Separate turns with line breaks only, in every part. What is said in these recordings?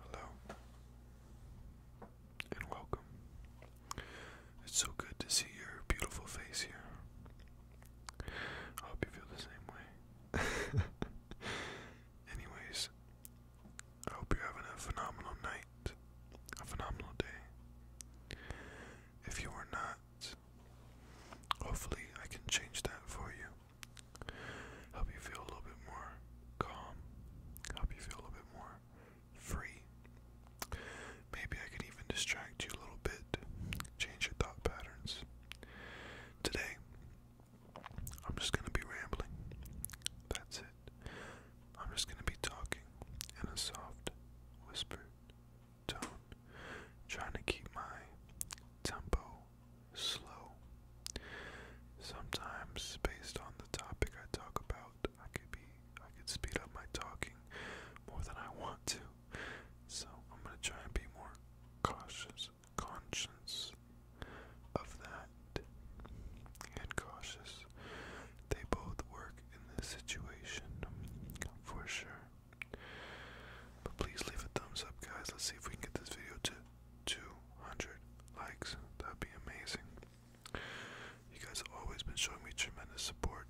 Hello and welcome. It's so good to see your beautiful face here. I hope you feel the same way. Anyways, I hope you're having a phenomenal night, a phenomenal day. If you are not, hopefully I can change that for you. Help you feel a little bit more calm. Help you feel a little bit more free. Maybe I could even distract you a little bit, change your thought patterns. Today, I'm just going to be rambling. That's it. I'm just going to be talking in a soft, whispered tone, trying to keep my tempo slow. Sometimes, based on the topic I talk about, I could be I could speed up my talking more than I want to. So I'm gonna try and be more cautious, conscious of that, and cautious. They both work in this situation for sure. But please leave a thumbs up, guys. Let's see if we can get this video to 200 likes. That'd be amazing. You guys have always been showing me tremendous support.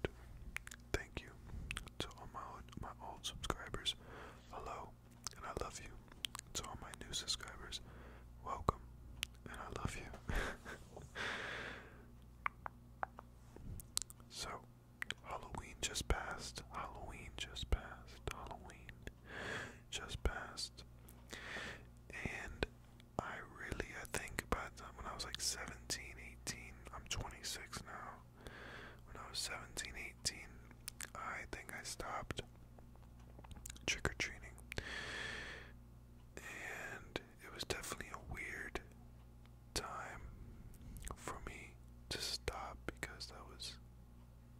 Thank you to all my old, subscribers. Hello, and I love you. To all my new subscribers, welcome, and I love you. so, Halloween just passed. Halloween just passed. Halloween just passed. And I really, I think by the when I was like 17, I'm 26 now. When I was 17, I think I stopped trick or treating. And it was definitely a weird time for me to stop because that was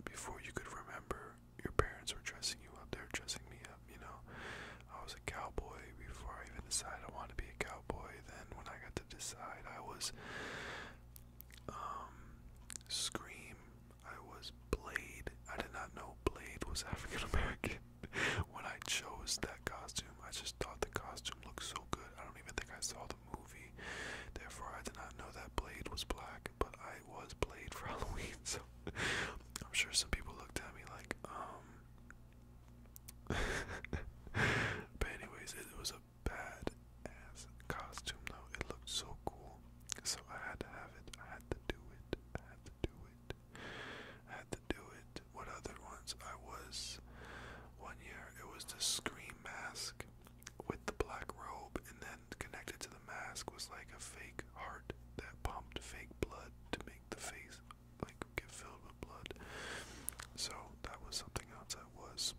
before you could remember your parents were dressing you up, they were dressing me up, you know. I was a cowboy before I even decided I wanted to be a cowboy. Then when I got to decide, I was um Scream, I was Blade. I did not know Blade was African American. when I chose that costume, I just thought the costume looked so good. I don't even think I saw the movie. Therefore, I did not know that Blade was black, but I I was played for Halloween, so I'm sure some people looked at me like, um, but anyways, it was a bad ass costume though. It looked so cool, so I had to have it. I had to do it. I had to do it. I had to do it. What other ones? I was one year. It was the scream mask with the black robe, and then connected to the mask was like a fake heart that pumped fake blood to make the face like get filled with blood. So that was something else I was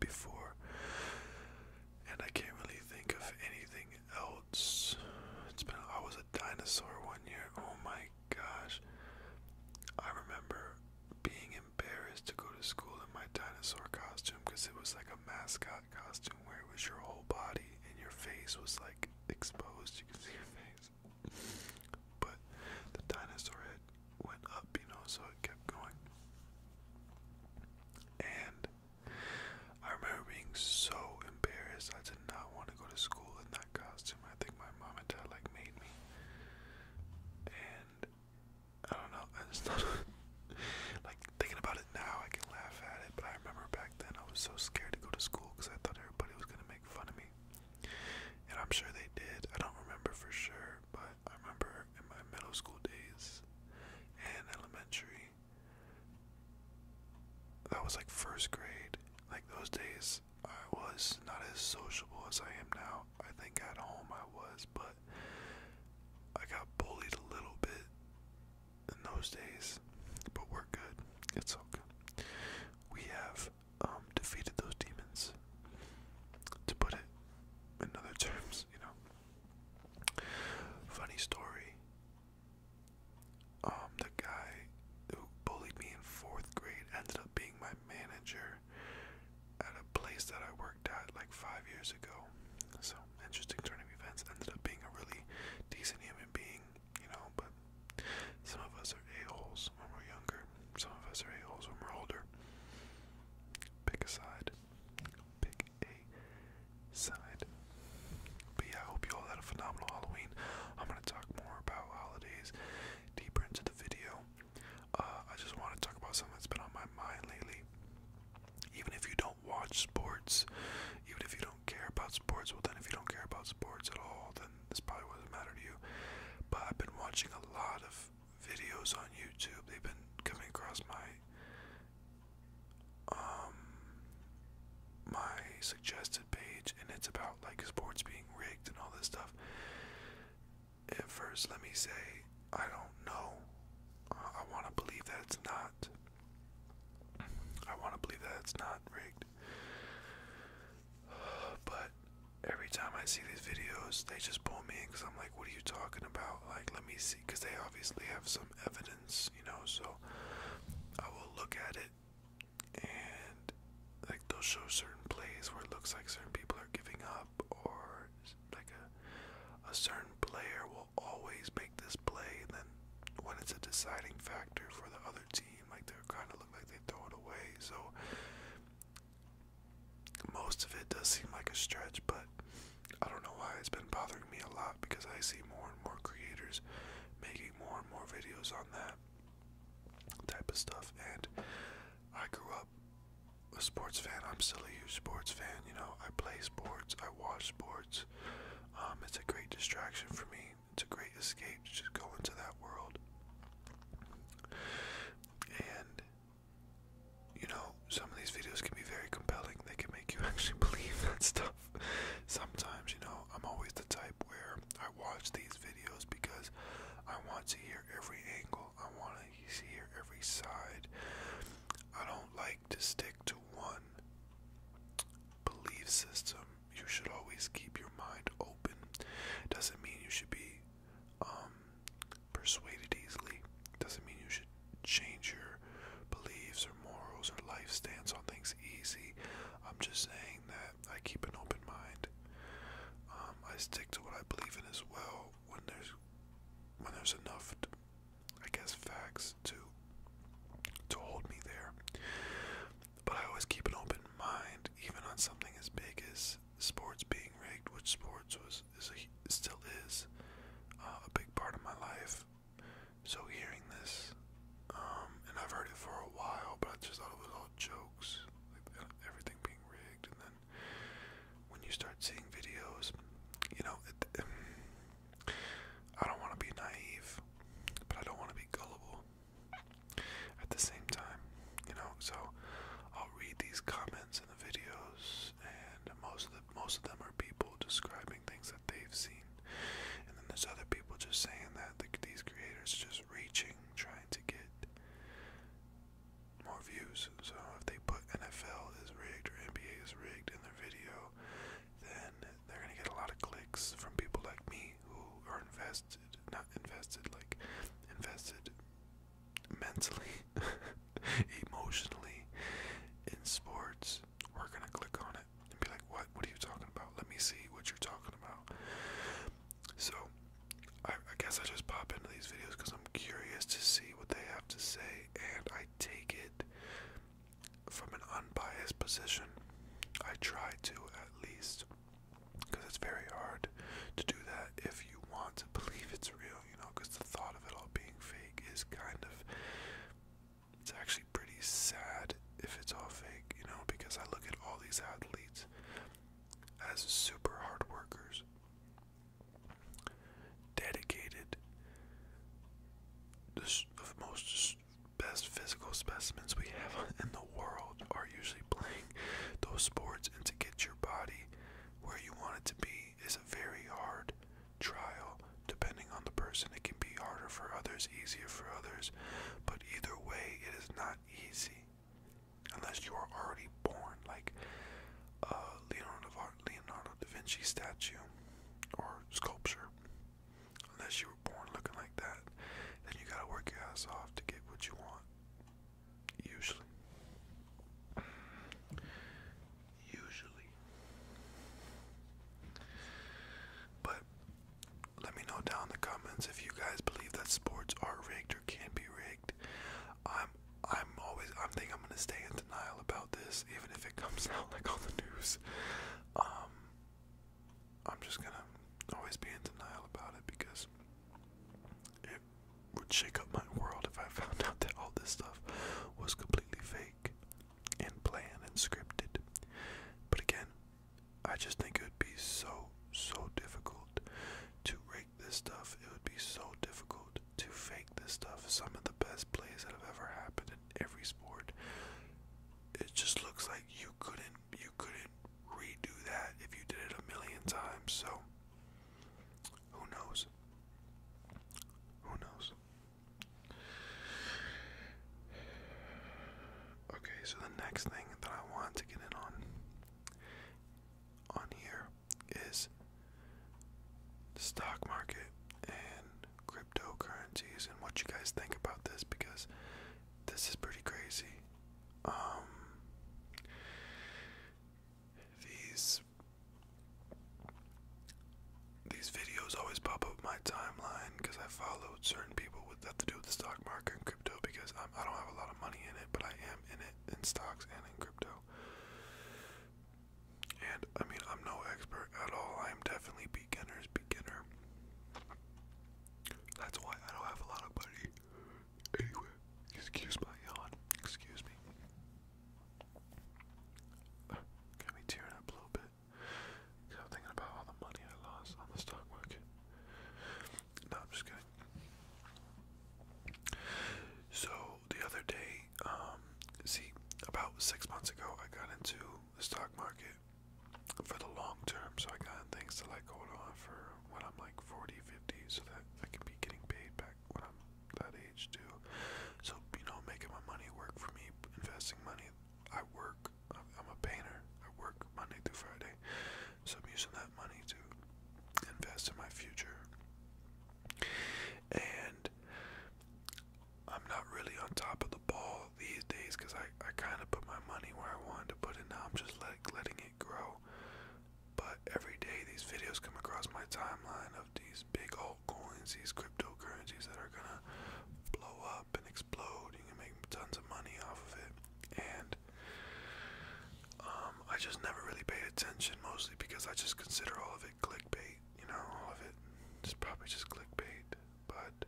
before, and I can't really think of anything else. It's been I was a dinosaur one year. Oh my gosh, I remember being embarrassed to go to school in my dinosaur costume because it was like a mascot costume where it was your whole body and your face was like exposed. You can see your face, but the dinosaur head went up, you know, so it kept going. And I remember being so embarrassed. I did not want to go to school in that costume. I think my mom and dad like made me. And I don't know. like thinking about it now. I can laugh at it, but I remember back then I was so scared to go to school because I thought everybody was gonna make fun of me, and I'm sure they did. I don't remember for sure, but I remember in my middle school days and elementary. That was like first grade. Like those days, I was not as sociable as I am now. I think at home I was but I got bullied a little bit in those days. But we're good. It's okay. We have um, defeated those demons. To put it in other terms, you know. Funny story. Um, the guy who bullied me in fourth grade ended up being my manager at a place that I worked worked like five years ago. So interesting turn of events. Ended up being a really decent human being, you know. But some of us are a holes when we're younger. Some of us are a holes when we're older. Pick a side. Pick a side. But yeah, I hope you all had a phenomenal Halloween. I'm gonna talk more about holidays deeper into the video. Uh, I just want to talk about something that's been on my mind lately. Even if you don't watch sports, even if you don't care about sports, well, then if you don't care about sports at all, then this probably wouldn't matter to you. But I've been watching a lot of videos on YouTube, they've been coming across my, um, my suggested page, and it's about like sports being rigged and all this stuff. At first, let me say I don't know. I want to believe that it's not. I want to believe that it's not rigged. But every time I see these videos, they just pull me in because I'm like, what are you talking about? Like, let me see. Because they obviously have some evidence, you know, so I will look at it and, like, they'll show certain plays where it looks like certain people are giving up or there's like a a certain player will always make this play, and then when it's a deciding factor for the other team, like they're kind of look like they throw it away. So most of it does seem like a stretch, but I don't know why it's been bothering me a lot because I see more and more creators making more and more videos on that type of stuff. And I grew up a sports fan. I'm still a huge sports fan. You know, I play sports watch sports. Um, it's a great distraction for me. It's a great escape to just go into that world. And, you know, some of these videos can be very compelling. They can make you actually believe that stuff. Sometimes, you know, I'm always the type where I watch these videos because I want to hear every angle, I want to hear every side. I don't like to stick to one belief system. You should always keep your mind open. Doesn't mean you should be um, persuaded easily. Doesn't mean you should change your beliefs or morals or life stance on things easy. I'm just saying that I keep an open mind. Um, I stick to what I believe in as well when there's when there's enough I guess facts to to hold me there. But I always keep an open mind, even on something as big as sports being rigged, which sports was is still is uh, a big part of my life. So hearing this, um, and I've heard it for a while, but I just thought it was all jokes, like uh, everything being rigged, and then when you start seeing videos, you know, I don't want to be naive, but I don't want to be gullible at the same time, you know. So I'll read these comments in the videos, and most of the most of them are people describing things that they've seen, and then there's other people just saying that these creators are just reaching, trying to get more views, so if they put NFL is rigged or NBA is rigged in their video, then they're gonna get a lot of clicks from people like me who are invested, not invested, like invested mentally, emotionally in sports. We're gonna click on it and be like, "What? What are you talking about? Let me see what you're talking about." So. I, I guess I just pop into these videos because I'm curious to see what they have to say, and I take it from an unbiased position. I try to at least, because it's very hard to do that if you want to believe it's real, you know, because the thought of it all being fake is kind of. It's actually pretty sad if it's all fake, you know, because I look at all these athletes as super hard workers dedicated the most best physical specimens we have in the world are usually playing those sports and to get your body where you want it to be is a very hard trial depending on the person it can be harder for others easier for others but either way it is not easy unless you are already born like uh leonardo Leonardo da Vinci statue or sculpture. Unless you were born looking like that, then you gotta work your ass off to get what you want. Usually. Usually. But let me know down in the comments if you guys believe that sports are rigged or can be rigged. I'm I I'm always I think I'm gonna stay in denial about this, even if it comes out like on the news. Um, I'm just gonna always be in denial about it because it would shake up my world if I found out that all this stuff was completely fake and planned and scripted. But again, I just think it would be so, so difficult to rate this stuff. It would be so difficult to fake this stuff. Some of the best plays that have ever happened in every sport. It just looks like you couldn't you couldn't redo that if you did it a million times. So who knows? Who knows? Okay, so the next thing that I want to get in on on here is stock market and cryptocurrencies and what you guys think about this because this is pretty crazy. Um, these these videos always pop up my timeline because I followed certain people with that to do with the stock market and crypto because I'm, I don't have a lot of money in it, but I am in it in stocks and in crypto. And I mean, I'm no expert at all. I am definitely beginner's beginner. That's why I don't have a lot of money. Anyway, excuse my yawn. Excuse me. got me tearing up a little bit. Cause I'm thinking about all the money I lost on the stock market. No, I'm just kidding. So the other day, way, um, see, about six months ago, I got into the stock market for the long term, so I got things to like hold on for when I'm like 40, 50, so that I can be getting paid back when I'm that age too. So, you know, making my money work for me, investing money. I work, I'm, I'm a painter, I work Monday through Friday, so I'm using that money to invest in my future and I'm not really on top of the ball these days because I, I kind of put my money where I wanted to put it. Now I'm just let, letting it grow. But every day these videos come across my timeline of these big altcoins, these cryptocurrencies that are going to blow up and explode. You can make tons of money off of it. And um, I just never really paid attention, mostly because I just consider all of it clickbait, you know, all of it is probably just clickbait. But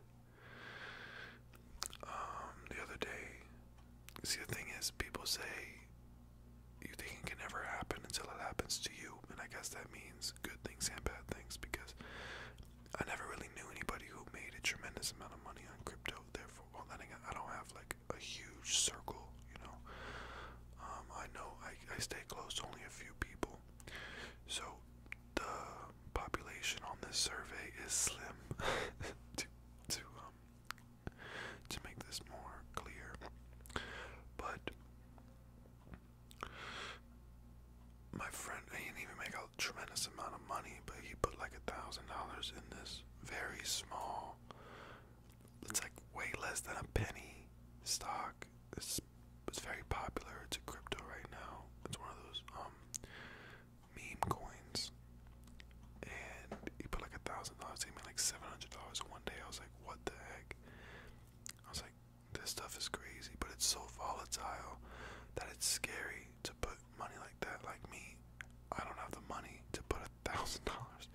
um, the other day, see, the thing is, people say you think it can never happen until it happens to you, and I guess that means good things and bad things because I never really knew anybody who made a tremendous amount of money on crypto. Therefore, well, I, I don't have like a huge circle, you know. Um, I know I stay close to only a few people, so the population on this survey is slim. to to um to make this more clear, but my friend he didn't even make a tremendous amount of money, but he put like a thousand dollars in this very small. It's like way less than a penny stock stock. It's it's very popular. It's a crypto right now. It's one of those um meme coins. And he put like a thousand dollars. He made like seven hundred dollars in one day. I was like, what the heck? I was like, this stuff is crazy, but it's so volatile that it's scary to put money like that. Like me, I don't have the money to put a thousand dollars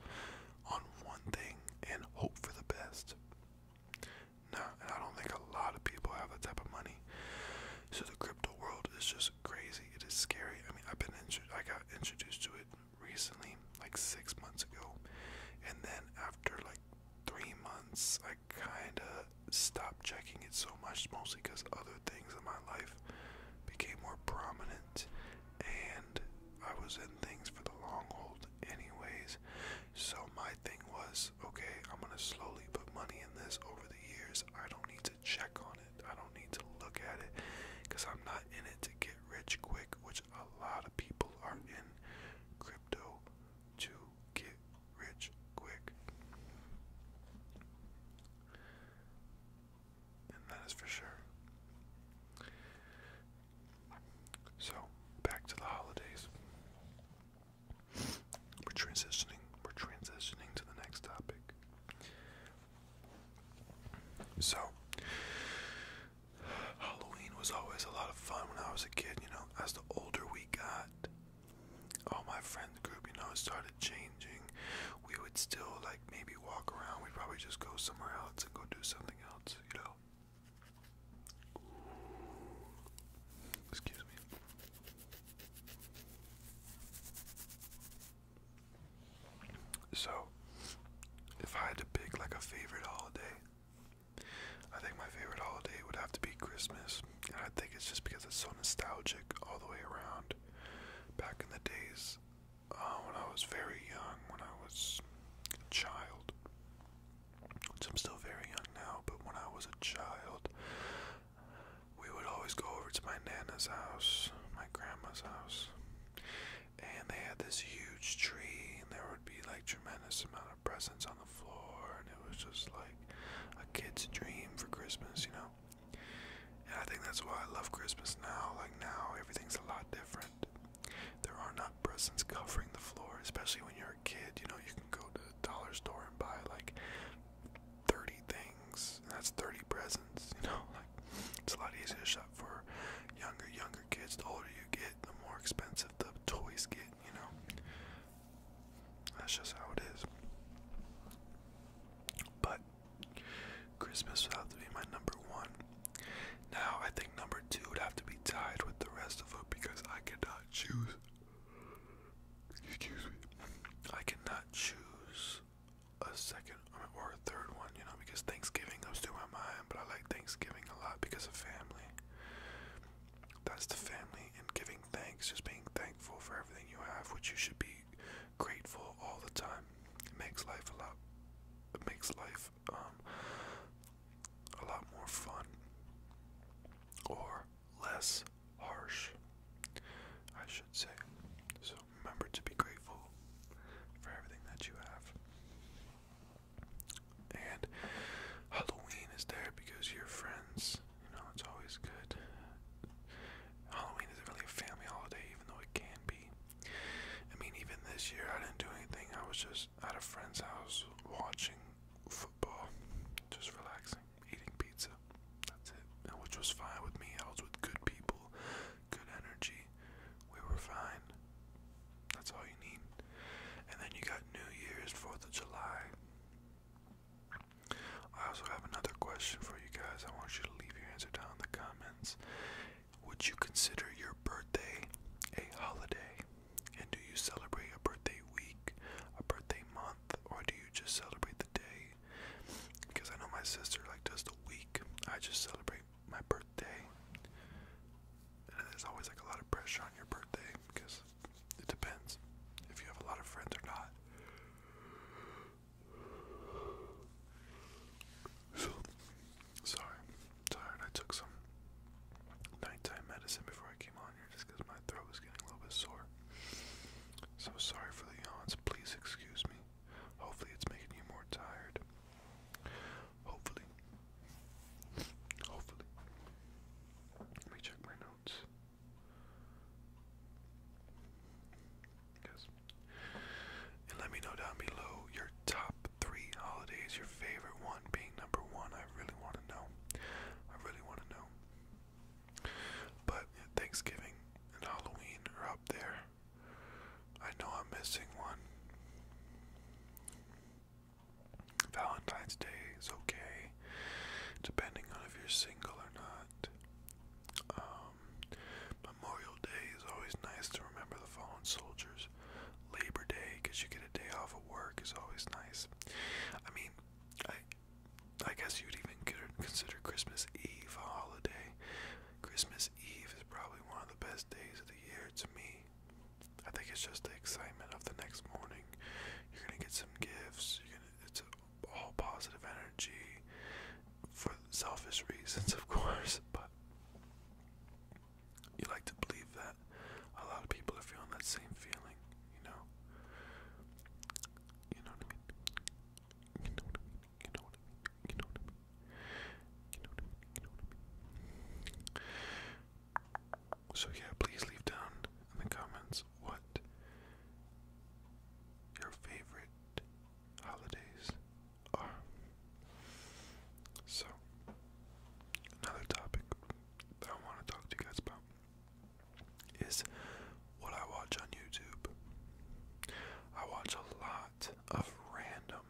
on one thing and hope for the best. No, and I don't think a lot of people have that type of money. So the crypto world is just crazy. It is scary. I mean, I've been intro- I got introduced to it recently, like six months ago, and then after like three months, I kind of stopped checking it so much, mostly because other things in my life became more prominent, and I was in things for the long haul, anyways. So my thing was, okay, I'm gonna slowly put money in this over the years. I don't need to check on it. I don't need to look at it because I'm not in it to get rich quick, which a lot of people are in crypto to get rich quick. And that is for sure. So, back to the holidays. We're transitioning. We're transitioning to the next topic. So, Halloween was always a lot of fun when I was a kid. You know, as the older we got, all my friend group, you know, started changing. We would still like maybe walk around. We'd probably just go somewhere else and go do something else. You know, Excuse me. So, if I had to pick like a favorite holiday, I think my favorite holiday would have to be Christmas. And I think it's just because it's so nostalgic all the way around. Back in the days uh, when I was very young, when I was a child, which I'm still very young now, but when I was a child, we would always go over to my nana's house, my grandma's house, and they had this huge tree, and there would be like tremendous amount of presents on the floor, and it was just like a kid's dream for Christmas, you know. And I think that's why I love Christmas now. Like now, everything's a lot different. There are not presents covering the floor, especially when you're a kid. You know, you can go to the dollar store and buy like 30 things, and that's 30 presents. You know, like it's a lot easier to shop for younger, younger kids. The older you get, the more expensive the toys get, you know. That's just how it is. But Christmas would have to be my number one. Now I think number two would have to be tied with the rest of them because I cannot choose. Excuse me. I cannot choose a second or a third one, you know, because Thanksgiving comes to my mind, but I like Thanksgiving a lot because of family. That's the family and giving thanks, just being thankful for everything you have, which you should be grateful all the time. It makes life a lot. It makes life um, a lot more fun or less harsh, I should say. So remember to be grateful for everything that you have. And Halloween is there because your friends, you know, it's always good. Halloween isn't really a family holiday, even though it can be. I mean, even this year I didn't do anything. I was just at a friend's house watching football, just relaxing, eating pizza. That's it. and Which was fine with me. I was with good people, good energy. We were fine. That's all you need. And then you got New Year's, 4th of July. I also have another question for you guys. I want you to leave your answer down in the comments. Would you consider your birthday a holiday? And do you celebrate a birthday week, a birthday month, or do you just celebrate the day? Because I know my sister like does the week. I just celebrate my birthday. And there's always like a lot of pressure on your birthday because it depends if you have a lot of friends or not. So, sorry tired. I took some nighttime medicine before I came on here just because my throat was getting a little bit sore. So sorry for the yawns. Please excuse me. Hopefully, it's making you more tired. Hopefully. Hopefully. Let me check my notes. Yes. And let me know down below your top three holidays, your favorite one being number one. I really want to know. I really want to know. But Thanksgiving and Halloween are up there. I know I'm missing one. Valentine's Day is okay, depending on if you're single or not. Um, Memorial Day is always nice to remember the fallen soldiers. Labor Day, because you get a day off of work, is always nice. I mean, I, I guess you'd even consider Christmas Eve a holiday. Christmas Eve is probably one of the best days of the year to me. I think it's just the excitement of the next morning. You're gonna get some gifts. You're gonna. It's all positive energy for selfish reasons, of course, but you like to believe that a lot of people are feeling that same feeling, you know. You know what I mean? You know what I mean? You know what I mean? You know what I mean? You know what I mean? So yeah, please leave down in the comments what your favorite holidays are. So, another topic that I want to talk to you guys about is what I watch on YouTube. I watch a lot of random,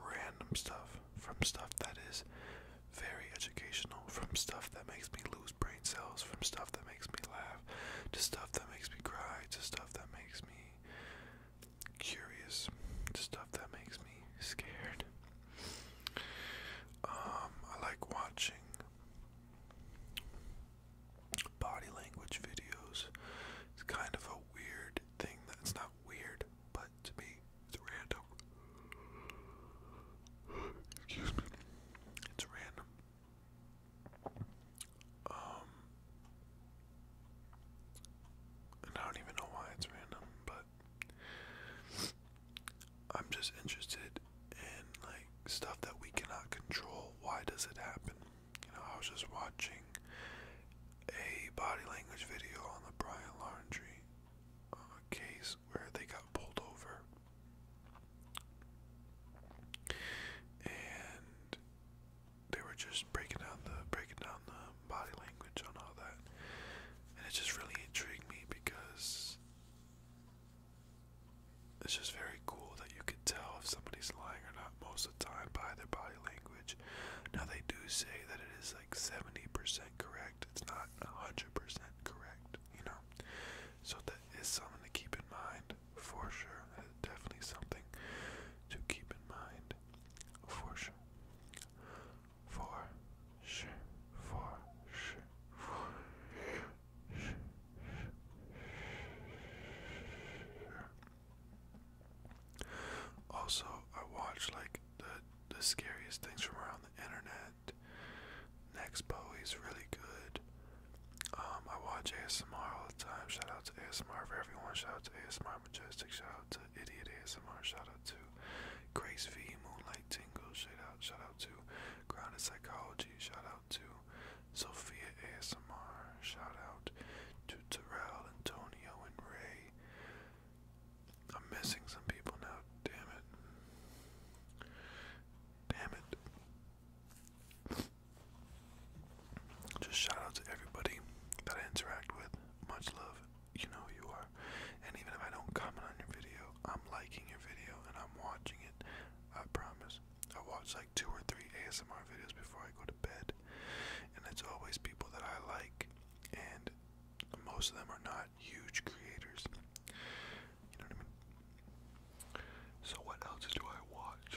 random stuff from stuff that is very educational, from stuff that makes me lose brain cells, from stuff that makes me laugh, to stuff that makes me cry, to stuff that makes me curious, to stuff that makes me scared. Um, I like watching body language videos. It's kind of a weird thing that's not weird, but to me, it's random. Excuse me. It's random. Um, and I don't even know why it's random, but I'm just interested in like stuff that we cannot control. Why does it happen? You know, I was just watching a body language video on the Brian Laundry uh, case where they got pulled over. And they were just breaking down the breaking down the body language, on all that. And it just really intrigued me because it's just very cool that you can tell if somebody's lying or not most of the time by their body language. Now, they do say that it is like 70% correct, it's not 100% correct, you know? So, that is something to keep in mind for sure. That is definitely something to keep in mind for sure for sure, for sure, for sure. Also, I watch like the the scariest things from around the internet. Next Bowie's really good. Um, I watch ASMR all the time. Shout out to ASMR for everyone. Shout out to ASMR Majestic. Shout out Idiot ASMR. Shout out to Grace V, Moonlight Tingle. Shout out, shout out to Grounded Psychology. Shout out to Sophia ASMR. Shout out to Terrell, Antonio, and Ray. I'm missing some people now. Damn it. Damn it. Just shout out to everybody that I interact with. Much love you know you are. And even if I don't comment on your video, I'm liking your video and I'm watching it. I promise. I watch like two or three ASMR videos before I go to bed. And it's always people that I like. And most of them are not huge creators. You know what I mean? So, what else do I watch?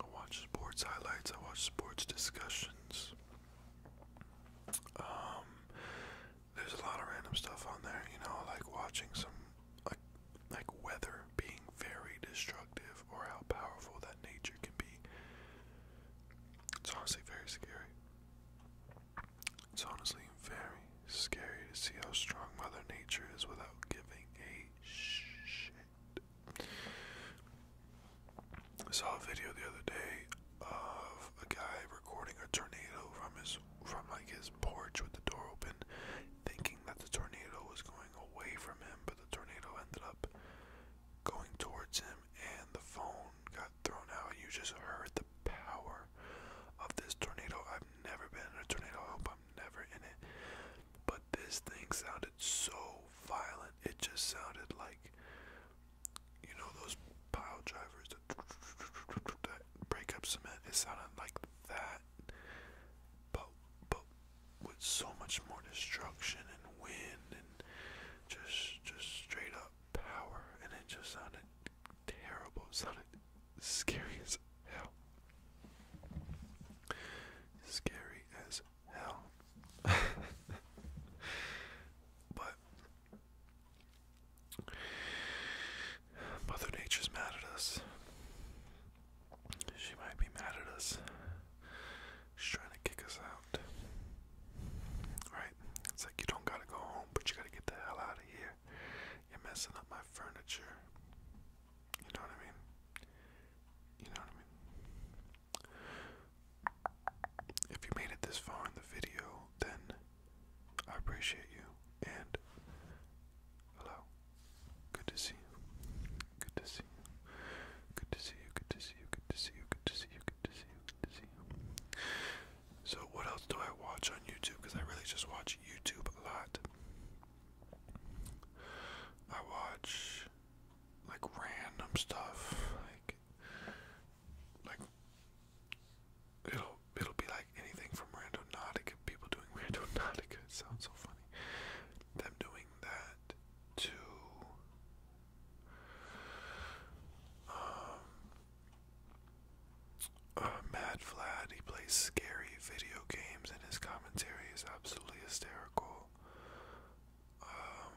I watch sports highlights, I watch sports discussions, um, there's a lot of random stuff on there, you know, like watching some like like weather being very destructive or how powerful that nature can be. It's honestly very scary. It's honestly very scary to see how strong Mother Nature is without giving a shit. I saw a video the other day of a guy recording a tornado from his from like his porch with the door open, thinking that the tornado was going away from him, but the tornado ended up going towards him and the phone got thrown out. You just heard the power of this tornado. I've never been in a tornado. I hope I'm never in it. But this thing sounded so violent it just sounded like, you know, those pile drivers that break up cement. It sounded like that, but but with so much more destruction and wind and just just straight up power, and it just sounded terrible. It sounded scary as hell. Scary as hell. but Mother Nature's mad at us. She might be mad at us. She's trying to kick us out. Right? It's like you don't gotta go home, but you gotta get the hell out of here. You're messing up my furniture. You know what I mean? You know what I mean? If you made it this far in the video, then I appreciate you. And hello. Good to see you. Good to see you. Good to see you. Good to see you. Good to see you. Good to see you. Good to see you. So what else do I watch on YouTube? Because I really just watch YouTube a lot. I watch like random stuff like like it'll it'll be like anything from randonautica people doing randonautica sounds so funny them doing that to um uh, Mad Vlad, he plays scary video games and his commentary is absolutely hysterical. Um,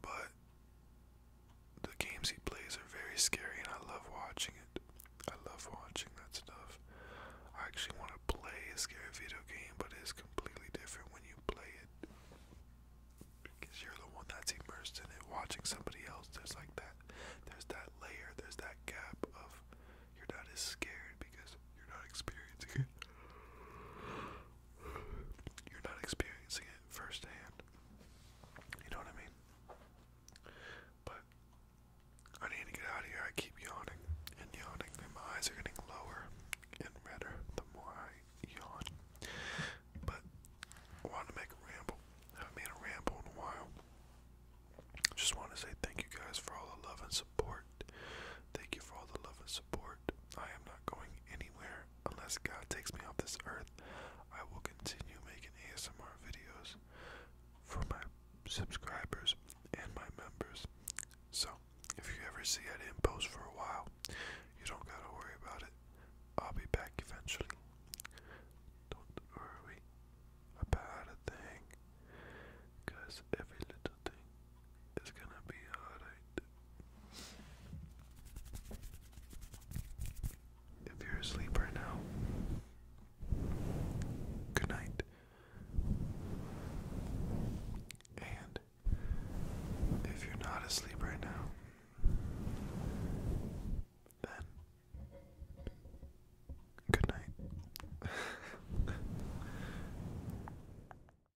but the games he plays are very scary, and I love watching it. I love watching that stuff. I actually want to play a scary video game, but it's completely different when you play it because you're the one that's immersed in it. Watching somebody else, there's like that, there's that layer, there's that gap of you're not as scared because you're not experiencing it you're not experiencing it firsthand. You know what I mean? But I need to get out of here. I keep yawning and yawning, and my eyes are getting lower and redder the more I yawn. But I to make a ramble. haven't made a ramble in a while. Just want to say thank you guys for all the love and support. Thank you for all the love and support. I am not going anywhere unless God takes me off this earth. I will continue making ASMR videos for my subscribers and my members. So, if you ever see I didn't post for a while, you don't gotta worry about it. I'll be back eventually. Don't worry about a thing, cause every little thing it's gonna be alright. If you're asleep right now, good night. And if you're not asleep right now, then good night.